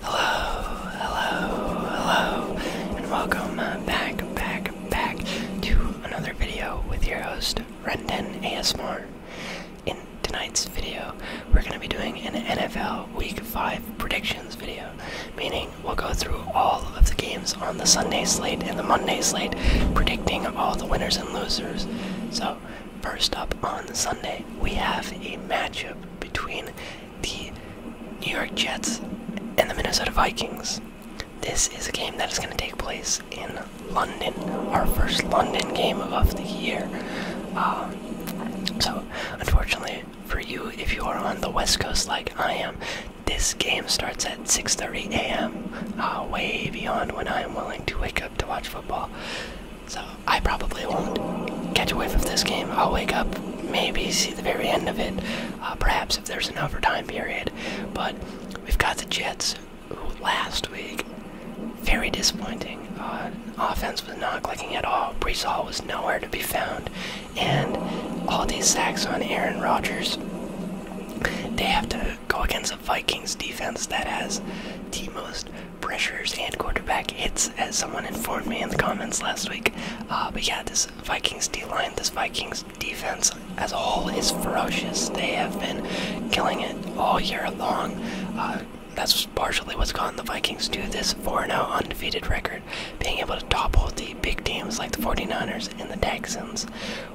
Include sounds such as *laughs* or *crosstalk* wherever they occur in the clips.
Hello, hello, hello, and welcome back, back, back to another video with your host, Rendon ASMR. In tonight's video, we're going to be doing an NFL Week 5 predictions video, meaning we'll go through all of the games on the Sunday slate and the Monday slate, predicting all the winners and losers. So, first up on Sunday, we have a matchup between the New York Jets and the Minnesota Vikings. This is a game that is going to take place in London, our first London game of the year. Um, so, unfortunately for you, if you are on the West Coast like I am, this game starts at 6:30 a.m. Uh, way beyond when I am willing to wake up to watch football. So I probably won't catch a whiff of this game. I'll wake up, maybe see the very end of it, uh, perhaps if there's an overtime period. But we've got the Jets, last week, very disappointing. Uh, offense was not clicking at all. Brees Hall was nowhere to be found. And all these sacks on Aaron Rodgers, they have to go against a Vikings defense that has the most pressures and quarterback hits, as someone informed me in the comments last week. Uh, but yeah, this Vikings D line, this Vikings defense as a whole is ferocious. They have been killing it all year long. Uh, that's partially what's gotten the Vikings to this 4 0 undefeated record, being able to topple the big teams like the 49ers and the Texans.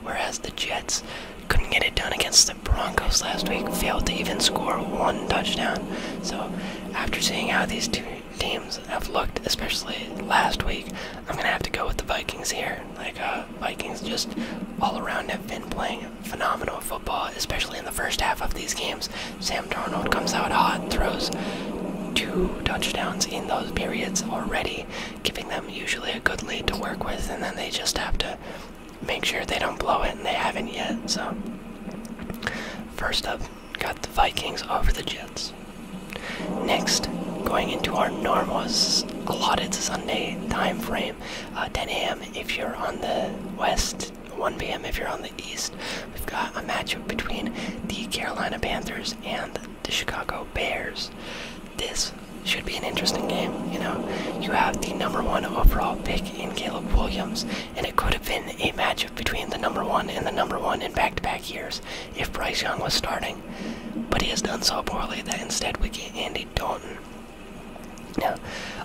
Whereas the Jets couldn't get it done against the Broncos last week, failed to even score one touchdown. So after seeing how these two teams have looked, especially last week, I'm gonna have to go with the Vikings here. Like uh, Vikings just all around have been playing phenomenal football, especially in the first half of these games. Sam Darnold comes out hot, throws two touchdowns in those periods already, giving them usually a good lead to work with, and then they just have to make sure they don't blow it, and they haven't yet. So, first up, got the Vikings over the Jets. Next, going into our normal allotted Sunday time frame, uh, 10 a.m. if you're on the west, 1 p.m. if you're on the east. We've got a matchup between the Carolina Panthers and the Chicago Bears. This should be an interesting game. You know, you have the number one overall pick in Caleb Williams, and it could have been a matchup between the number one and the number one in back to back years if Bryce Young was starting. But he has done so poorly that instead we get Andy Dalton. Now,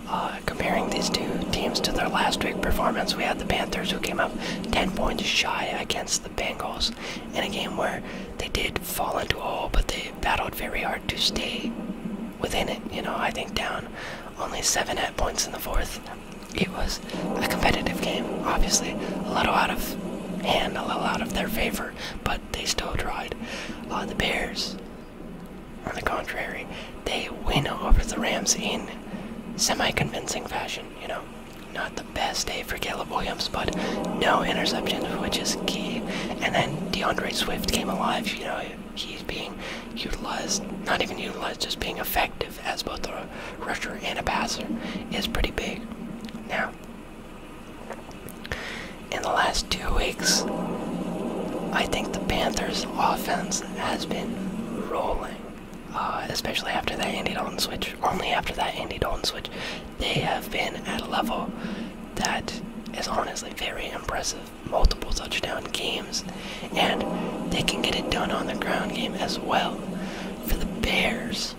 uh, comparing these two teams to their last week performance, we had the Panthers who came up 10 points shy against the Bengals in a game where they did fall into a hole, but they battled very hard to stay within it. You know, I think down only seven at points in the fourth, it was a competitive game, obviously. A little out of hand, a little out of their favor, but they still tried. Uh, the Bears, on the contrary, they win over the Rams in semi convincing fashion, you know. Not the best day for Caleb Williams, but no interceptions, which is key. And then DeAndre Swift came alive, you know he's being utilized, not even utilized, just being effective as both a rusher and a passer is pretty big. Now, in the last two weeks, I think the Panthers' offense has been rolling. Uh, especially after that Andy Dalton switch, only after that Andy Dalton switch, they have been at a level that is honestly very impressive. Multiple touchdown games, and they can get it done on the ground game as well. For the Bears,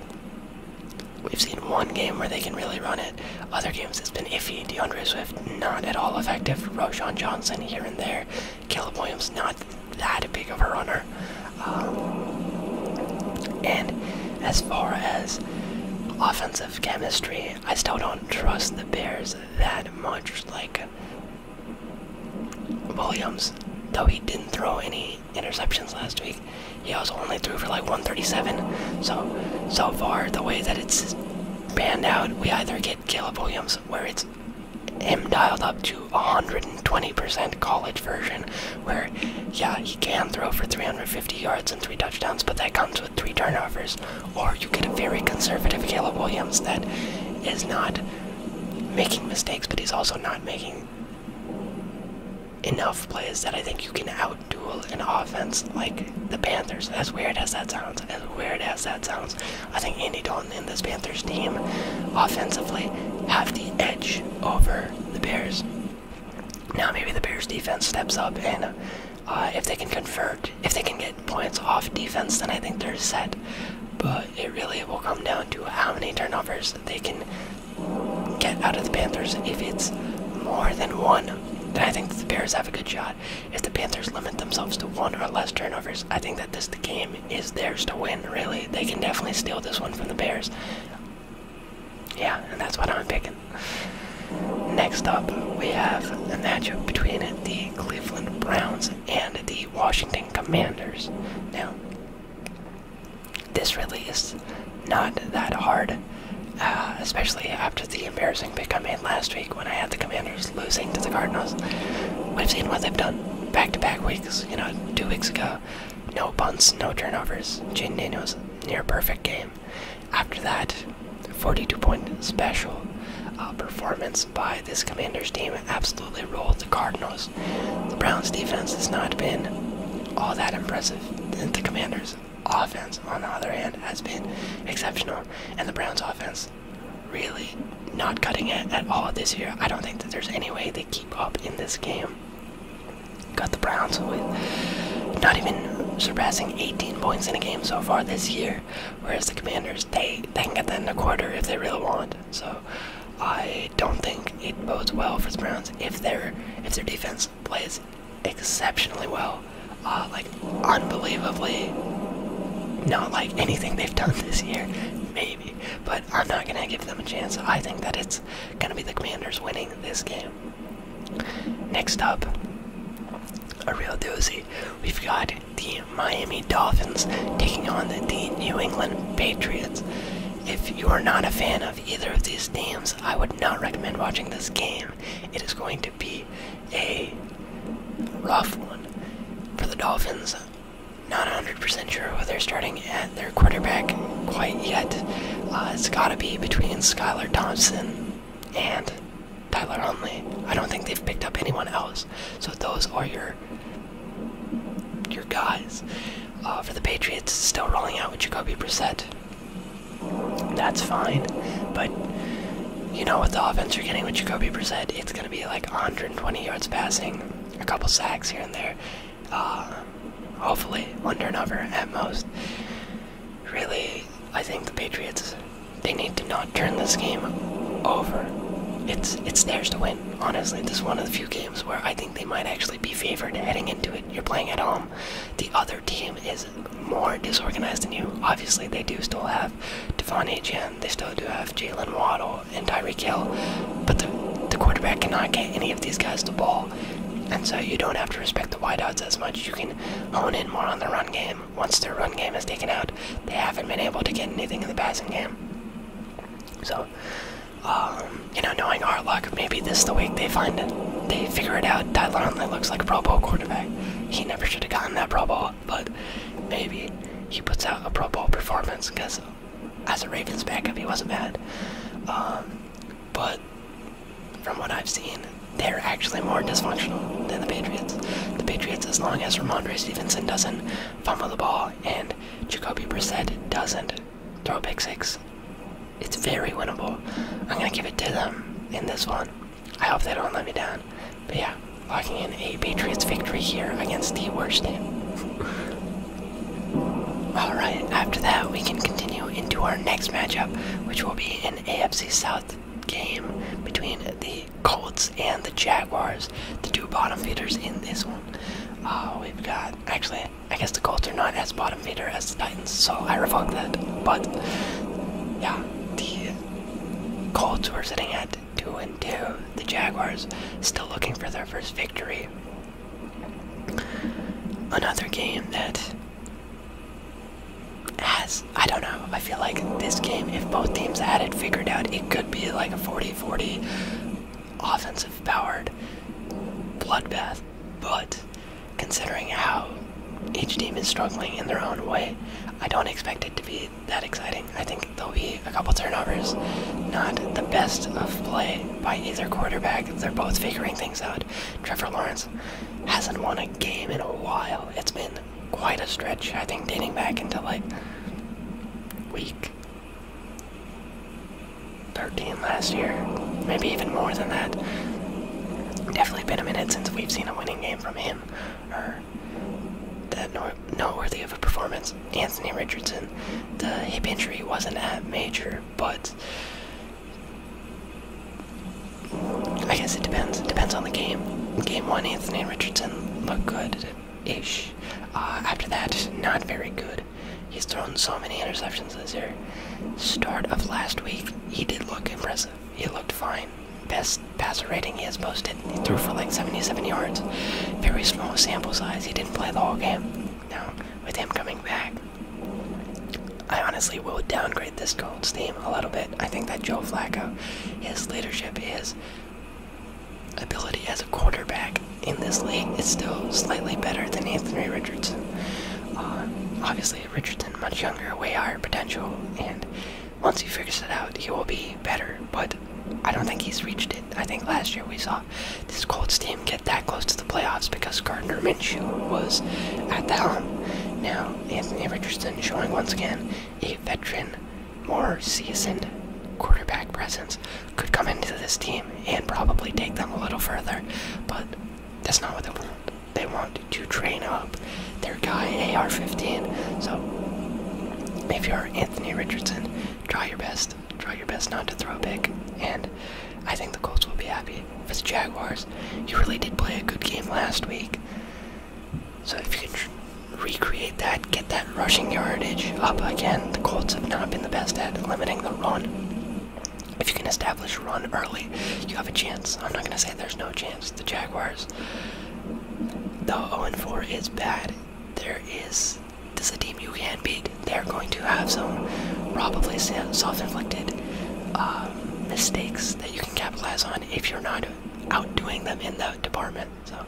we've seen one game where they can really run it. Other games it's been iffy. DeAndre Swift not at all effective. Roshan Johnson here and there. Caleb Williams not that big of a runner. Um, and as far as offensive chemistry, I still don't trust the Bears that much. Like Williams, though he didn't throw any interceptions last week, he also only threw for like 137. So, so far, the way that it's panned out, we either get Caleb Williams, where it's him dialed up to 120% college version, where yeah, he can throw for 350 yards and three touchdowns, but that comes with three turnovers. Or you get a very conservative Caleb Williams that is not making mistakes, but he's also not making enough plays that I think you can outduel an offense like the Panthers. As weird as that sounds, as weird as that sounds, I think Andy Dalton and this Panthers team offensively have the edge over the Bears. Now maybe the Bears defense steps up and uh, if they can convert, if they can get points off defense, then I think they're set. But it really will come down to how many turnovers they can get out of the Panthers. If it's more than one, then I think the Bears have a good shot. If the Panthers limit themselves to one or less turnovers, I think that this the game is theirs to win, really. They can definitely steal this one from the Bears. Yeah, and that's what I'm picking. Next up, we have a matchup between the Cleveland Browns and the Washington Commanders. Now, this really is not that hard, uh, especially after the embarrassing pick I made last week when I had the Commanders losing to the Cardinals. We've seen what they've done back to back weeks, you know, two weeks ago. No punts, no turnovers. Jane Daniels, near perfect game. After that, 42 point special uh, performance by this Commanders team absolutely rolled the Cardinals. The Browns' defense has not been all that impressive. The Commanders' offense, on the other hand, has been exceptional, and the Browns' offense really not cutting it at all this year. I don't think that there's any way they keep up in this game. Got the Browns with not even surpassing 18 points in a game so far this year, whereas the Commanders they can get that in a quarter if they really want. So I don't think it bodes well for the Browns if their if their defense plays exceptionally well, uh, like unbelievably. Not like anything they've done *laughs* this year, maybe. But I'm not gonna give them a chance. I think that it's gonna be the Commanders winning this game. Next up, a real doozy. We've got the Miami Dolphins taking on the, New England Patriots. If you are not a fan of either of these teams, I would not recommend watching this game. It is going to be a rough one for the Dolphins. Not 100% sure who they're starting at their quarterback quite yet. Uh, it's got to be between Skylar Thompson and Tyler Huntley. I don't think they've picked up anyone else. So those are your your guys. Uh, for the Patriots, still rolling out with Jacoby Brissett. That's fine, but you know what the offense you're getting with Jacoby Brissett, it's gonna be like 120 yards passing, a couple sacks here and there, uh, Hopefully, under one over at most. Really, I think the Patriots they need to not turn this game over. It's it's theirs to win honestly, this is one of the few games where I think they might actually be favored heading into it. You're playing at home. The other team is more disorganized than you. Obviously, they do still have Devon Agen, they still do have Jalen Waddle and Tyreek Hill, but the, the quarterback cannot get any of these guys the ball. And so you don't have to respect the wideouts as much. You can hone in more on the run game. Once their run game is taken out, they haven't been able to get anything in the passing game. So, um, you know, knowing our luck, maybe this the week they find it. They figure it out. Tyler Huntley looks like a Pro Bowl quarterback. He never should have gotten that Pro Bowl, but maybe he puts out a Pro Bowl performance because as a Ravens backup, he wasn't bad. Um, but from what I've seen, they're actually more dysfunctional than the Patriots. The Patriots, as long as Ramondre Stevenson doesn't fumble the ball and Jacoby Brissett doesn't throw a big six. It's very winnable. I'm gonna give it to them in this one. I hope they don't let me down. But yeah, locking in a Patriots victory here against the worst team. *laughs* Alright, after that we can continue into our next matchup, which will be an AFC South game between the the Colts and the Jaguars, the two bottom feeders in this one. Uh, we've got, actually, I guess the Colts are not as bottom feeder as the Titans, so I revoke that. But yeah, the Colts were sitting at two and two. The Jaguars still looking for their first victory. Another game that has I don't know, I feel like this game if both teams had it figured out it could be like a 40-40 offensive powered bloodbath, but considering how each team is struggling in their own way, I don't expect it to be that exciting. I think there'll be a couple turnovers, not the best of play by either quarterback. They're both figuring things out. Trevor Lawrence hasn't won a game in a while. It's been quite a stretch, I think, dating back into like week 13 last year, maybe even more than that. Definitely been a minute since we've seen a winning game from him, or that noteworthy of a performance. Anthony Richardson, the hip injury wasn't that major, but I guess it depends. It depends on the game. game one, Anthony Richardson looked good ish. Uh, after that, not very good. He's thrown so many interceptions this year. Start of last week, he did look impressive. He looked fine. Best passer rating he has posted. He threw for like 77 yards. Very small sample size. He didn't play the whole game. Now, with him coming back, I honestly will downgrade this Colts team a little bit. I think that Joe Flacco, his leadership is ability as a quarterback in this league is still slightly better than Anthony Richardson. Uh, obviously, Richardson much younger, way higher potential, and once he figures it out, he will be better. But I don't think he's reached it. I think last year we saw this Colts team get that close to the playoffs because Gardner Minshew was at the helm. Now Anthony Richardson showing once again a veteran more seasoned quarterback presence could come into this team and probably take them a little further. But that's not what they want. They want to train up their guy AR 15. So if you're Anthony Richardson, try your best. Try your best not to throw big. And I think the Colts will be happy. For the Jaguars, you really did play a good game last week. So if you can recreate that, get that rushing yardage up again. The Colts have not been the best at limiting the run. If you can establish run early, you have a chance. I'm not going to say there's no chance. The Jaguars, though 0 4 is bad, there is. This is a team you can beat. They're going to have some probably self inflicted uh, mistakes that you can capitalize on if you're not outdoing them in that department. So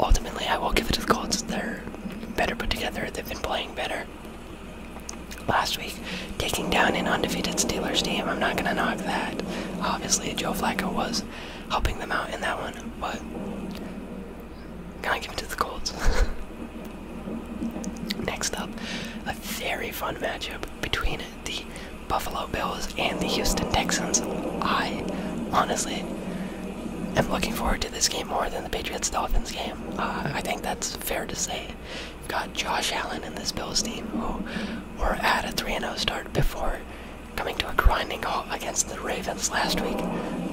ultimately, I will give it to the Colts. They're better put together. They've been playing better. Last week, taking down an undefeated Steelers team. I'm not gonna knock that. Obviously, Joe Flacco was helping them out in that one, but can I give it to the Colts. *laughs* Next up, a very fun matchup between the Buffalo Bills and the Houston Texans. I honestly am looking forward to this game more than the Patriots Dolphins game. Uh, I think that's fair to say. You've got Josh Allen in this Bills team who were at a 3 0 start before coming to a grinding halt against the Ravens last week,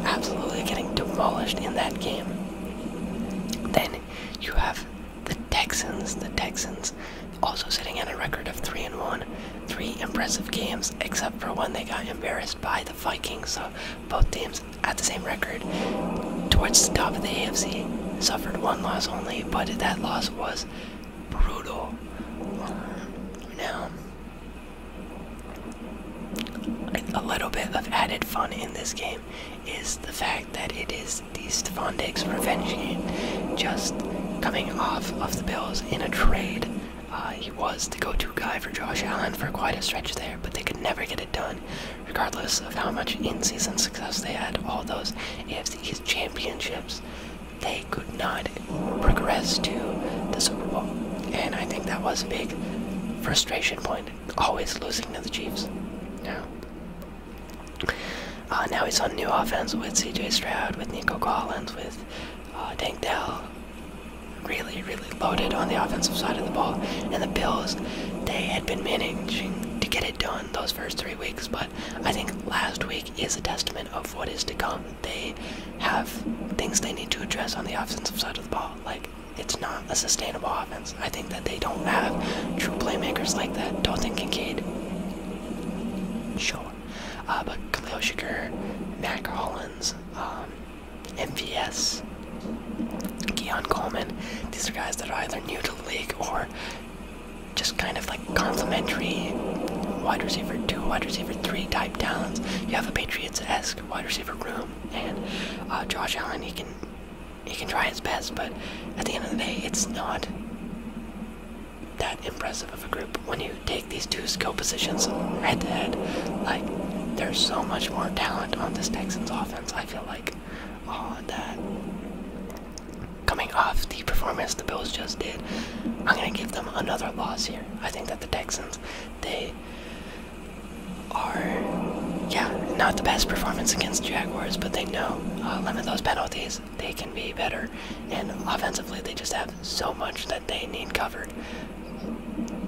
absolutely getting demolished in that game. Then you have the Texans. The Texans also sitting at a record of 3 and 1, three impressive games, except for one they got embarrassed by the Vikings. So both teams at the same record towards the top of the AFC. Suffered one loss only, but that loss was brutal. Now, a little bit of added fun in this game is the fact that it is the Stephon Diggs revenge game, just coming off of the Bills in a trade uh, he was the go to guy for Josh Allen for quite a stretch there, but they could never get it done, regardless of how much in season success they had. All those AFC East championships, they could not progress to the Super Bowl. And I think that was a big frustration point, always losing to the Chiefs. Now, uh, now he's on new offense with CJ Stroud, with Nico Collins, with uh, Dank Dell, really, really loaded on the offensive side of the ball. And the Bills, they had been managing to get it done those first three weeks, but I think last week is a testament of what is to come. They have things they need to address on the offensive side of the ball. Like, it's not a sustainable offense. I think that they don't have true playmakers like that. Dalton Kincaid, sure. Uh, but Khalil Shakur, Mac Hollins, um, MVS, Keon Coleman. These are guys that are either new to the league or just kind of like complementary wide receiver two, wide receiver three type talents. You have a Patriots-esque wide receiver room, and uh, Josh Allen. He can he can try his best, but at the end of the day, it's not that impressive of a group when you take these two skill positions head to head. Like, there's so much more talent on this Texans offense, I feel like, on uh, that. Coming off the performance the Bills just did, I'm gonna give them another loss here. I think that the Texans, they are, yeah, not the best performance against Jaguars, but they know uh, limit those penalties. They can be better, and offensively, they just have so much that they need covered.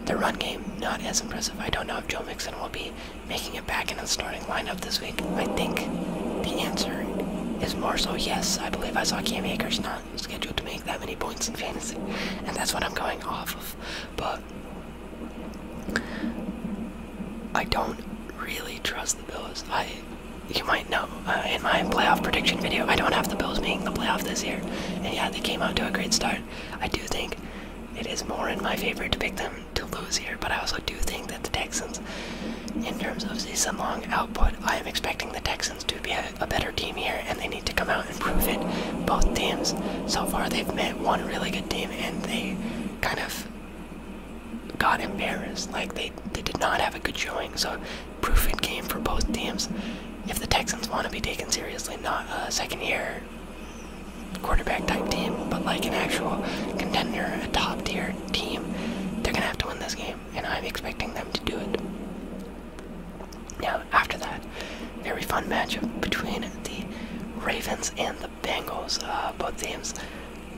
The run game, not as impressive. I don't know if Joe Mixon will be making it back into the starting lineup this week. I think the answer is more so yes. I believe I saw Cam Akers not scheduled to make that many points in fantasy, and that's what I'm going off of. But I don't really trust the Bills. I, you might know, uh, in my playoff prediction video, I don't have the Bills making the playoff this year, and yeah, they came out to a great start. I do think it is more in my favor to pick them to lose here, but I also do think that the Texans, in terms of season long output, I am expecting the Texans to be a, a better team here, and they need to come out and prove it. Both teams, so far, they've met one really good team, and they kind of got embarrassed. Like, they, they did not have a good showing, so proofing game for both teams. If the Texans want to be taken seriously, not a second year quarterback type team, but like an actual contender, a top tier team, they're gonna have to win this game, and I'm expecting them to do it. Now, after that, very fun matchup between the Ravens and the Bengals. Uh, both teams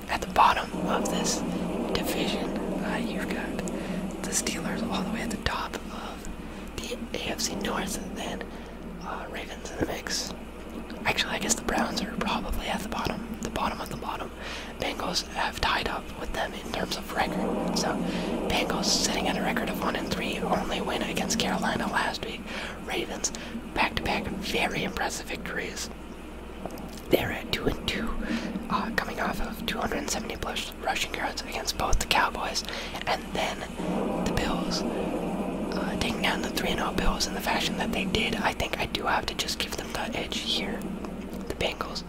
at the bottom of this division. Uh, you've got the Steelers all the way at the top of the AFC North, and then uh, Ravens and the mix. Actually, I guess the Browns are probably at the bottom, the bottom of the bottom. Bengals have tied up with them in terms of record. So, Bengals sitting at a record of one and three, only win against Carolina last week. Ravens back-to-back, very impressive victories. They're at two and two, uh, coming off of 270 plus rushing yards against both the Cowboys and then the Bills. Uh, taking down the 3 0 Bills in the fashion that they did, I think I do have to just give them the edge here. The Bengals.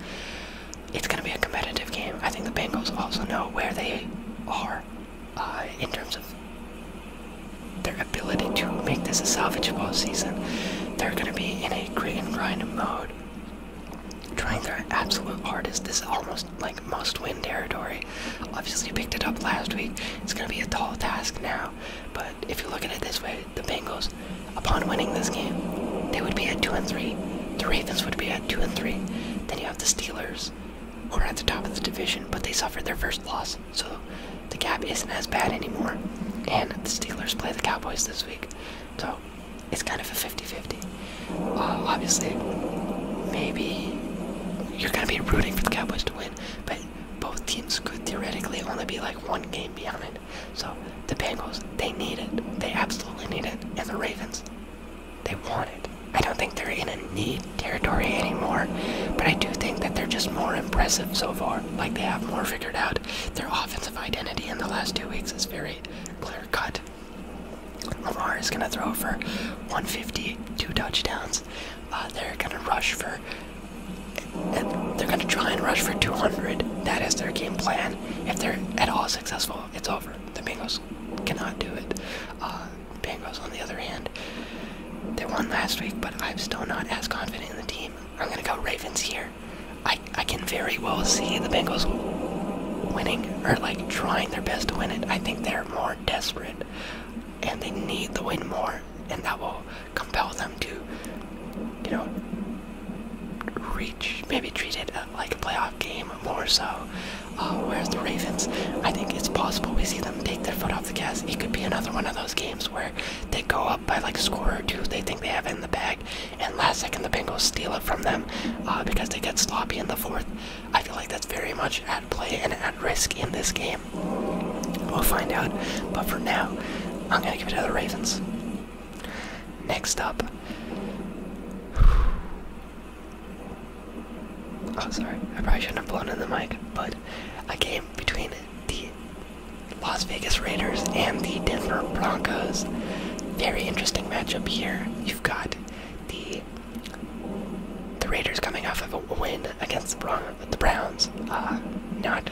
It's going to be a competitive game. I think the Bengals also know where they are uh, in terms of their ability to make this a salvageable season. They're going to be in a grit and grind mode trying their absolute hardest. This is almost like must-win territory. Obviously picked it up last week. It's going to be a tall task now. But if you look at it this way, the Bengals, upon winning this game, they would be at two and three. The Ravens would be at two and three. Then you have the Steelers, who are at the top of the division, but they suffered their first loss, so the gap isn't as bad anymore. And the Steelers play the Cowboys this week, so it's kind of a 50-50. Uh, obviously, maybe you're going to be rooting for the Cowboys to win, but both teams could theoretically only be like one game behind. So the Bengals, they need it. They absolutely need it. And the Ravens, they want it. I don't think they're in a need territory anymore, but I do think that they're just more impressive so far. Like they have more figured out. Their offensive identity in the last two weeks is very clear cut. Lamar is gonna throw for 152 touchdowns. Uh, they're gonna rush for. They're gonna try and rush for 200. That is their game plan. If they're at all successful, it's over. The Bengals cannot do it. Uh, Bengals, on the other hand, they won last week, but I'm still not as confident in the team. I'm gonna go Ravens here. I I can very well see the Bengals winning are like trying their best to win it. I think they're more desperate and they need the win more, and that will compel them to, you know, reach, maybe treat it uh, like a playoff game more so. Uh, whereas the Ravens, I think it's possible we see them take their foot off the gas. It could be another one of those games where they go up by like a score or two, they think they have in the bag, and last second the Bengals steal it from them uh, because they get sloppy in the fourth. I feel like that's very much at play and at risk in this game. We'll find out, but for now, I'm gonna give it to the Ravens. Next up. *sighs* Oh, sorry, I probably shouldn't have blown in the mic, but a game between the Las Vegas Raiders and the Denver Broncos. Very interesting matchup here. You've got the the Raiders coming off of a win against the Browns, uh, not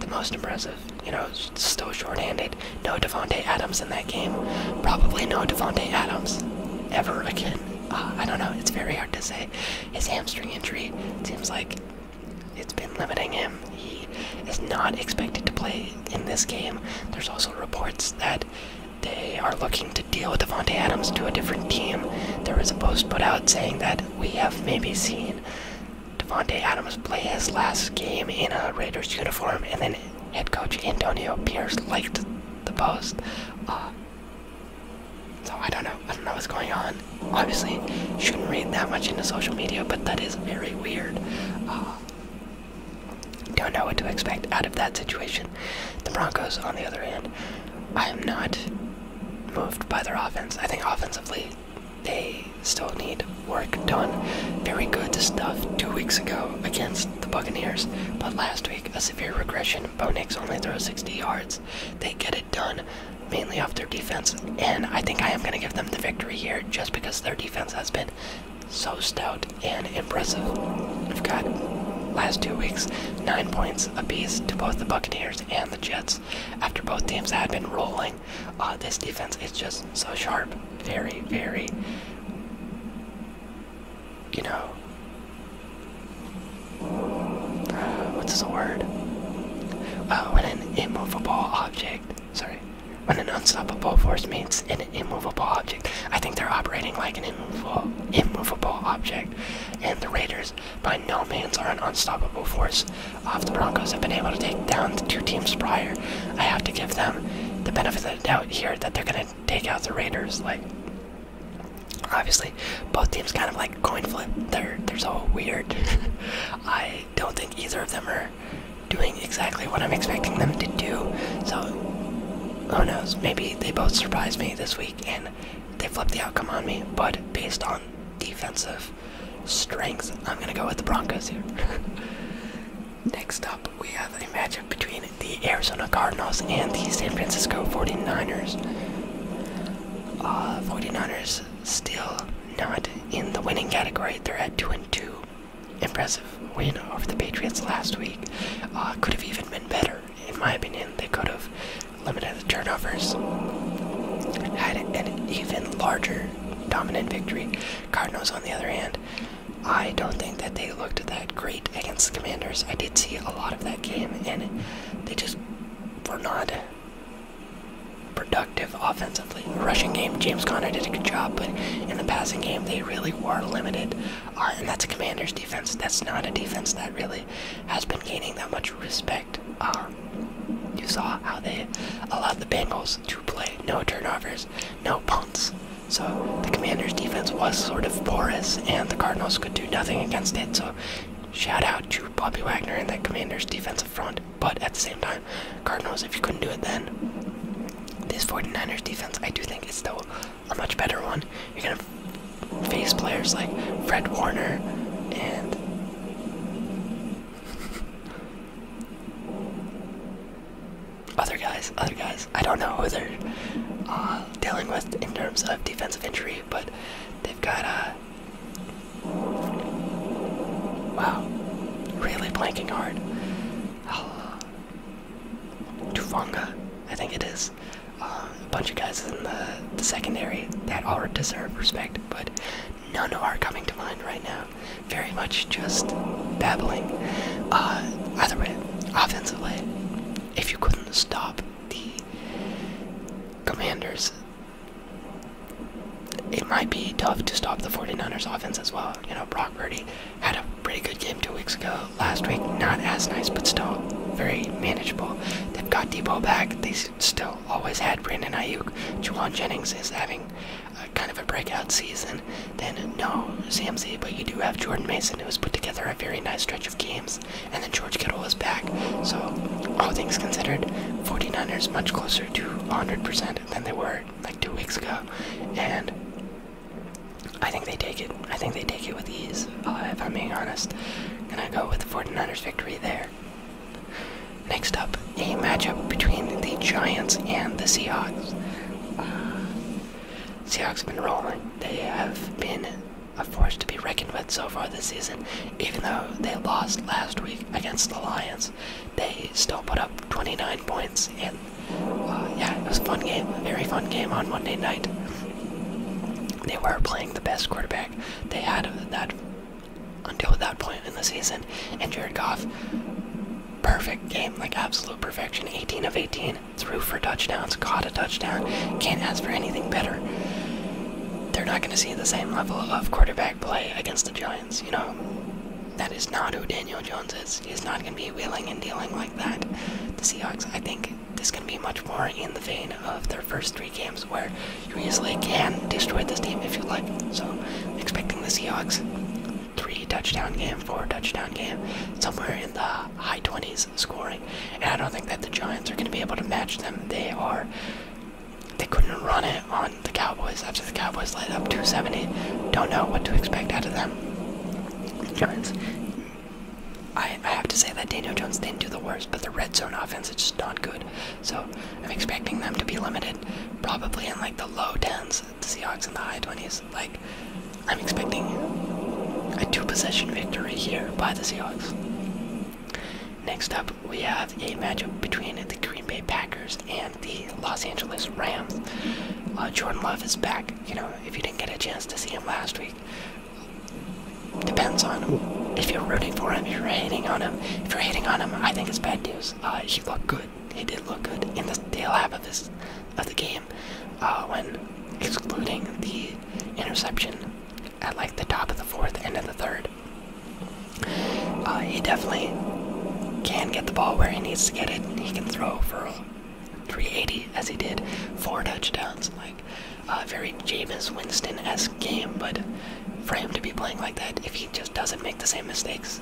the most impressive. You know, still short-handed. No Devonte Adams in that game. Probably no Devonte Adams ever again. Uh, I don't know. It's very hard to say. His hamstring injury seems like it's been limiting him. He is not expected to play in this game. There's also reports that they are looking to deal with Devontae Adams to a different team. There was a post put out saying that we have maybe seen Devonte Adams play his last game in a Raiders uniform, and then head coach Antonio Pierce liked the post. Uh, so I don't know. I don't know what's going on. Obviously, shouldn't read that much into social media, but that is very weird. Uh, don't know what to expect out of that situation. The Broncos, on the other hand, I am not moved by their offense. I think offensively, they still need work done. Very good stuff two weeks ago against the Buccaneers, but last week, a severe regression. Bo Nix only throws 60 yards. They get it done mainly off their defense, and I think I am going to give them the victory here just because their defense has been so stout and impressive. We've got last two weeks nine points apiece to both the Buccaneers and the Jets after both teams had been rolling. Uh, this defense is just so sharp. Very, very, you know, what's the word? Uh, when an immovable object, sorry, when an unstoppable force meets an immovable object, I think they're operating like an immovable, object, and the Raiders by no means are an unstoppable force. Off uh, the Broncos have been able to take down two teams prior. I have to give them the benefit of the doubt here that they're gonna take out the Raiders. Like, obviously, both teams kind of like coin flip. They're they're so weird. *laughs* I don't think either of them are doing exactly what I'm expecting them to do. So who knows? Maybe they both surprised me this week and they flipped the outcome on me. But based on defensive strength, I'm gonna go with the Broncos here. *laughs* Next up, we have a matchup between the Arizona Cardinals and the San Francisco 49ers. 49ers uh, still not in the winning category. They're at 2 and 2 impressive win over the Patriots last week. Uh, could have even been better, in my opinion. They could have limited the turnovers, had an even larger dominant victory. Cardinals, on the other hand, I don't think that they looked that great against the Commanders. I did see a lot of that game, and they just were not productive offensively. The rushing game, James Conner did a good job, but in the passing game, they really were limited and that's a commander's defense. That's not a defense that really has been gaining that much respect. Um, you saw how they allowed the Bengals to play no turnovers, no punts. So the commander's defense was sort of porous, and the Cardinals could do nothing against it. So shout out to Bobby Wagner and that commander's defensive front. But at the same time, Cardinals, if you couldn't do it then, this 49ers defense, I do think, is still a much better one. You're gonna face players like Fred Warner and. Other guys, other guys. I don't know who they're uh, dealing with in terms of defensive injury, but they've got a. Uh, wow, really blanking hard. Tuvanga, I think it is. Um, a bunch of guys in the, secondary that all deserve respect, but none are coming to mind right now. Very much just babbling. Uh, either way, offensively, if you couldn't stop the commanders, it might be tough to stop the 49ers offense as well. You know, Brock Purdy had a pretty good game two weeks ago. Last week, not as nice, but still very manageable. They've got Debo back. They still always had Brandon Ayuk. Juwan Jennings is having a, kind of a breakout season. Then no CMC, but you do have Jordan Mason, who has put together a very nice stretch of games. And then George Kittle is back. So all things considered, 49ers much closer to 100% than they were like two weeks ago. And I think they take it. I think they take it with ease, uh, if I'm being honest. and I go with the 49ers victory there. Next up, a matchup between the Giants and the Seahawks. Uh, Seahawks been rolling. They have been a force to be reckoned with so far this season. Even though they lost last week against the Lions, they still put up 29 points in. Uh, yeah, it was a fun game, a very fun game on Monday night. They were playing the best quarterback they had that until that point in the season, and Jared Goff, perfect game, like absolute perfection. 18 of 18, threw for touchdowns, caught a touchdown. Can't ask for anything better. They're not going to see the same level of quarterback play against the Giants, you know. That is not who Daniel Jones is. He's not going to be wheeling and dealing like that the Seahawks, I think this can be much more in the vein of their first three games where you easily can destroy this team if you like. So expecting the Seahawks three touchdown game, four touchdown game, somewhere in the high 20s scoring. And I don't think that the Giants are going to be able to match them. They are they couldn't run it on the Cowboys after the Cowboys led up 270. Don't know what to expect out of them. Giants I, have to say that Daniel Jones didn't do the worst, but the red zone offense is just not good. So I'm expecting them to be limited, probably in like the low tens, the Seahawks in the high twenties. Like I'm expecting a two-possession victory here by the Seahawks. Next up, we have a matchup between the Green Bay Packers and the Los Angeles Rams. Uh, Jordan Love is back. You know, if you didn't get a chance to see him last week. Depends on him. If you're rooting for him, if you're hating on him, if you're hating on him, I think it's bad news. Uh, he looked good. He did look good in the tail half of this of the game, uh, when excluding the interception at like the top of the fourth and of the third. Uh, he definitely can get the ball where he needs to get it. He can throw for 380 as he did, four touchdowns. Like a very Jameis Winston-esque game, but for him to be playing like that, if he just doesn't make the same mistakes,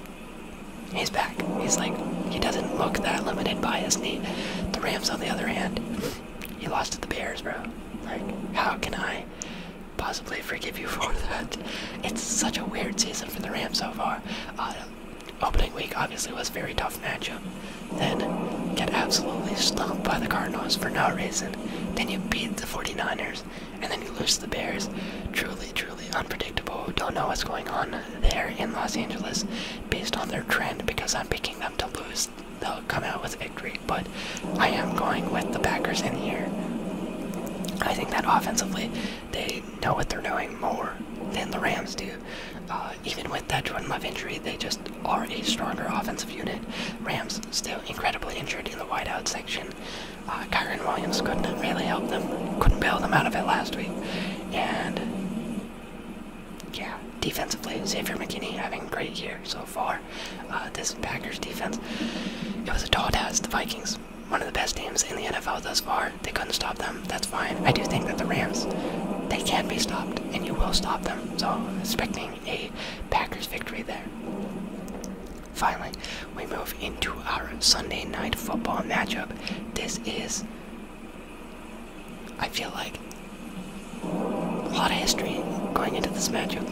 he's back. He's like he doesn't look that limited by his knee. The Rams, on the other hand, he lost to the Bears, bro. Like how can I? Possibly forgive you *laughs* for that. It's such a weird season for the Rams so far. Uh, opening week obviously was very tough matchup. Then get absolutely slumped by the Cardinals for no reason. Then you beat the 49ers, and then you lose the Bears. Truly, truly unpredictable. Don't know what's going on there in Los Angeles based on their trend because I'm picking them to lose. They'll come out with victory, but I am going with the Packers in here. I think that offensively, they know what they're doing more than the Rams do. Uh, even with that Jordan Love injury, they just are a stronger offensive unit. Rams still incredibly injured in the wideout section. Uh, Kyron Williams couldn't really help them, couldn't bail them out of it last week. And yeah, defensively, Xavier McKinney having a great year so far. Uh, this Packers defense, it was a tall task. The Vikings, one of the best teams in the NFL thus far, they couldn't stop them. Um, that's fine. I do think that the Rams, they can be stopped, and you will stop them. So expecting a Packers victory there. Finally, we move into our Sunday night football matchup. This is, I feel like, a lot of history going into this matchup.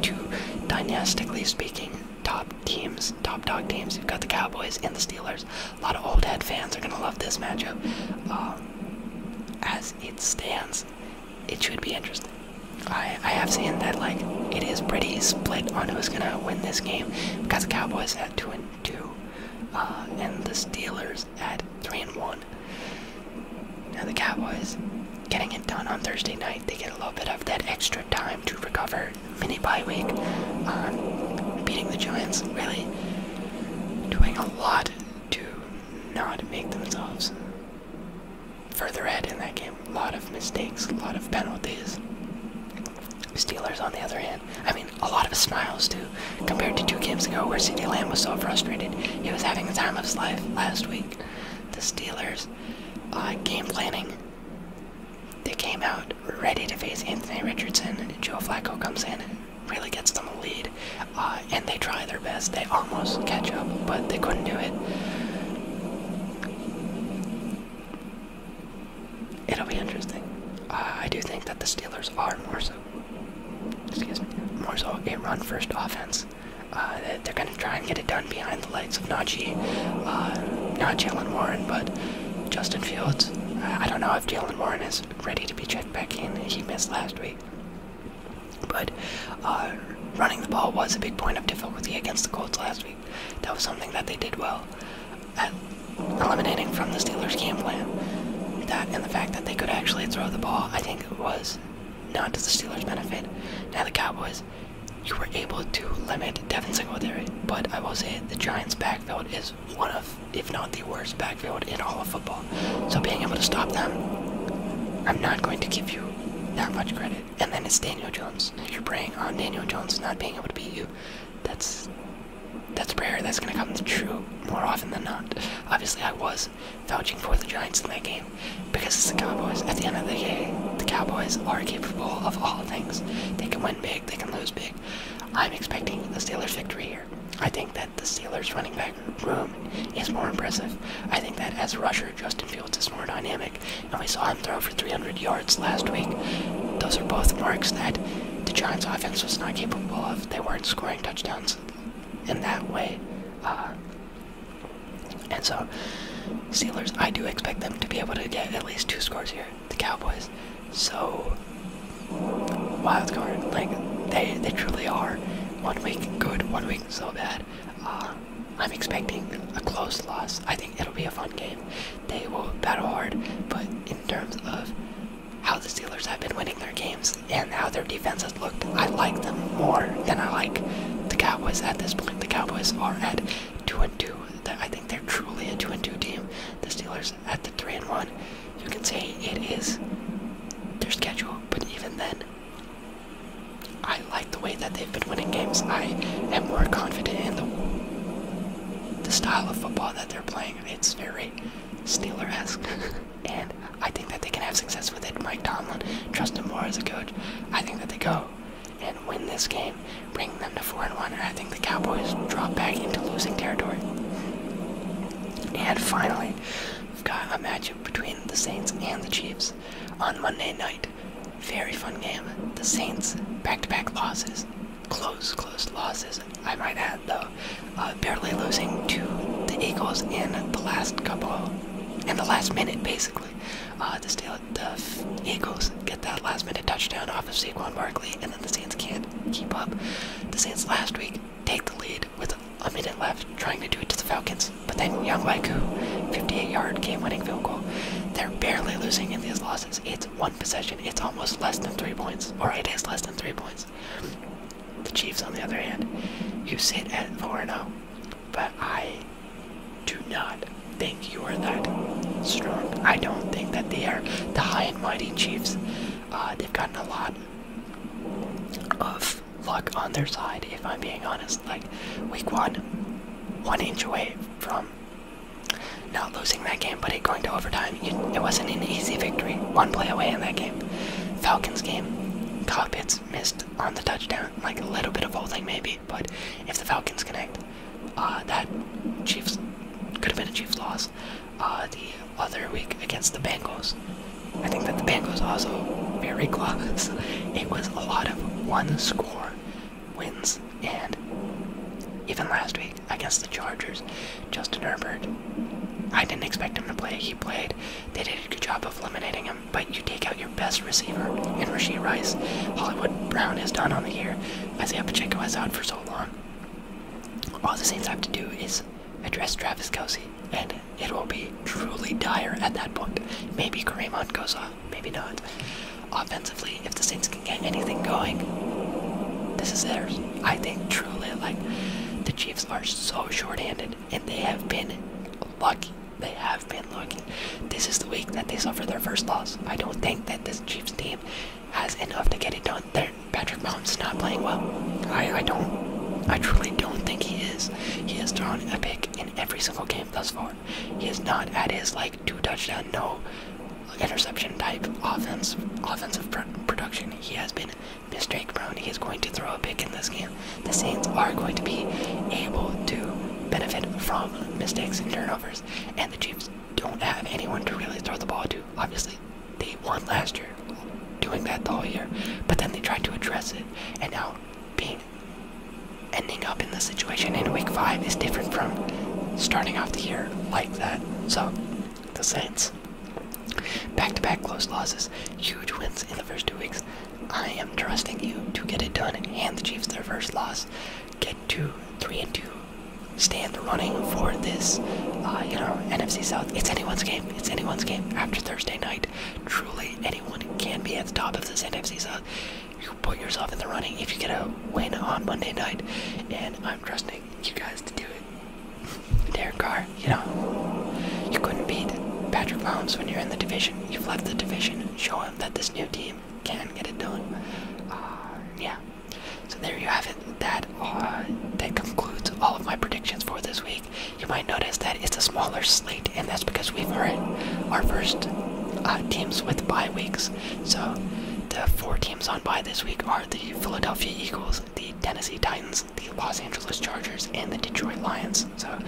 Two dynastically speaking, top teams, top dog teams. You've got the Cowboys and the Steelers a lot of old head fans are going to love this matchup. Um, as it stands, it should be interesting. I, I have seen that like it is pretty split on who's going to win this game because the Cowboys at two and two, uh, and the Steelers at three and one. Now the Cowboys getting it done on Thursday night. They get a little bit of that extra time to recover. Mini bye week. Uh, beating the Giants, really doing a lot to not make themselves further ahead in that game. A lot of mistakes, a lot of penalties. Steelers, on the other hand, I mean, a lot of smiles too, compared to two games ago where CeeDee Lamb was so frustrated. He was having the time of his life last week. The Steelers, uh, game planning. They came out ready to face Anthony Richardson, Joe Flacco comes in really gets them a lead, uh, and they try their best. They almost catch up, but they couldn't do it. It'll be interesting. Uh, I do think that the Steelers are more so, excuse me, more so a run-first offense. Uh, they're going to try and get it done behind the lights of Najee, not Jalen Warren, but Justin Fields. I don't know if Jalen Warren is ready to be back in. He missed last week. But uh, running the ball was a big point of difficulty against the Colts last week. That was something that they did well at eliminating from the Steelers' game plan. That and the fact that they could actually throw the ball, I think it was not to the Steelers' benefit. Now the Cowboys, you were able to limit Devin Singletary, but I will say the Giants' backfield is one of, if not the worst backfield in all of football. So being able to stop them, I'm not going to give you that much credit. And then it's Daniel Jones. If you're praying on Daniel Jones not being able to beat you, that's that's prayer that's going to come true more often than not. Obviously, I was vouching for the Giants in that game because it's the Cowboys. At the end of the day, the Cowboys are capable of all things. They can win big, they can lose big. I'm expecting the Steelers victory here. I think that the Steelers' running back room is more impressive. I think that as a rusher, Justin Fields is more dynamic, and we saw him throw for 300 yards last week. Those are both marks that the Giants' offense was not capable of. They weren't scoring touchdowns in that way. Uh, and so, Steelers, I do expect them to be able to get at least two scores here. The Cowboys. So, wild card. Like they they truly are one week good, one week so bad. Uh, I'm expecting a close loss. I think it'll be a fun game. They will battle hard, but in terms of how the Steelers have been winning their games and how their defense has looked, I like them more than I like the Cowboys at this point. The Cowboys are at two and two. I think they're truly a two and two team. The Steelers at the three and one you can say it is their schedule, but even then, I like the way that they've been winning games. I am more confident in the, the style of football that they're playing. It's very Steeler esque. *laughs* and I think that they can have success with it. Mike Tomlin, trust him more as a coach. I think that they go and win this game, bring them to 4 and 1, and I think the Cowboys drop back into losing territory. And finally, We've got a matchup between the Saints and the Chiefs on Monday night. Very fun game. The Saints back-to-back losses, close, close losses. I might add though, uh, barely losing to the Eagles in the last couple, in the last minute basically. Uh, the, Steel, the Eagles get that last-minute touchdown off of Saquon Barkley, and then the Saints can't keep up. The Saints last week take the lead with a minute left, trying to do it to the Falcons. But then Young Waiku, 58 yard game winning field goal. They're barely losing in these losses. It's one possession, it's almost less than three points, or it is less than three points. The Chiefs, on the other hand, you sit at 4 0, but I do not think you are that strong. I don't think that they are the high and mighty Chiefs. Uh, they've gotten a lot of luck on their side, if I'm being honest. Like, week one, one inch away from not losing that game, but it going to overtime. it wasn't an easy victory. One play away in that game. Falcons game, Cockpits missed on the touchdown. Like, a little bit of holding, maybe, but if the Falcons connect, uh, that Chiefs could have been a Chiefs loss. Uh, the other week against the Bengals. I think that the Bengals also very *laughs* close. It was a lot of one-score wins, and even last week against the Chargers, Justin Herbert. I didn't expect him to play. He played. They did a good job of eliminating him, but you take out your best receiver in Rasheed Rice. Hollywood Brown is done on the year. Isaiah Pacheco is out for so long. All the Saints have to do is address Travis Kelsey, and it will be truly dire at that point. Maybe Kareem goes off, maybe not. Offensively, if the Saints can get anything going, this is theirs. I think truly, like, the Chiefs are so short-handed, and they have been lucky. They have been lucky. This is the week that they suffer their first loss. I don't think that this Chiefs team has enough to get it done. there. Patrick Mahomes not playing well. I, I don't, I truly don't think he is. He has thrown a pick in every single game thus far. He is not at his like two touchdown, no interception type offense, offensive production. He has been mistake prone. He is going to throw a pick in this game. The Saints are going to be able to benefit from mistakes and turnovers, and the Chiefs don't have anyone to really throw the ball to, obviously they won last year, doing that the whole year. But then they tried to address it, and now being ending up in the situation in week five is different from starting off the year like that. So, the Saints, back-to-back close losses, huge wins in the first two weeks. I am trusting you to get it done. Hand the Chiefs their first loss. Get to three and two. Stand running for this, uh, you know, NFC South. It's anyone's game. It's anyone's game after Thursday night. Truly, anyone can be at the top of this NFC South. You put yourself in the running if you get a win on Monday night, and I'm trusting you guys to do it. *laughs* Derek Carr, you know, you couldn't beat Patrick Mahomes when you're in the division. You've left the division. Show him that this new team can get it done. Uh, yeah. So there you have it. That uh, that concludes all of my predictions for this week you might notice that it's a smaller slate, and that's because we've heard our first uh, teams with bye weeks. So the four teams on bye this week are the Philadelphia Eagles, the Tennessee Titans, the Los Angeles Chargers, and the Detroit Lions. So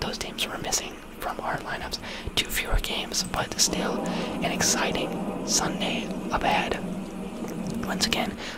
those teams were missing from our lineups. Two fewer games, but still an exciting Sunday ahead. Once again,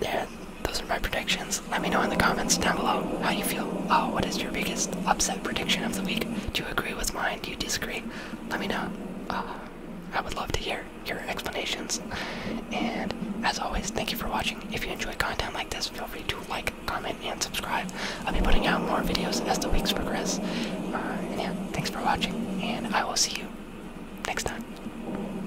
there, those are my predictions. Let me know in the comments down below how you feel. Oh, what is your biggest upset prediction of the week? Do you agree with mine? Do you disagree? Let me know. Uh, I would love to hear your explanations. And as always, thank you for watching. If you enjoy content like this, feel free to like, comment, and subscribe. I'll be putting out more videos as the weeks progress. Uh, and yeah, thanks for watching, and I will see you next time.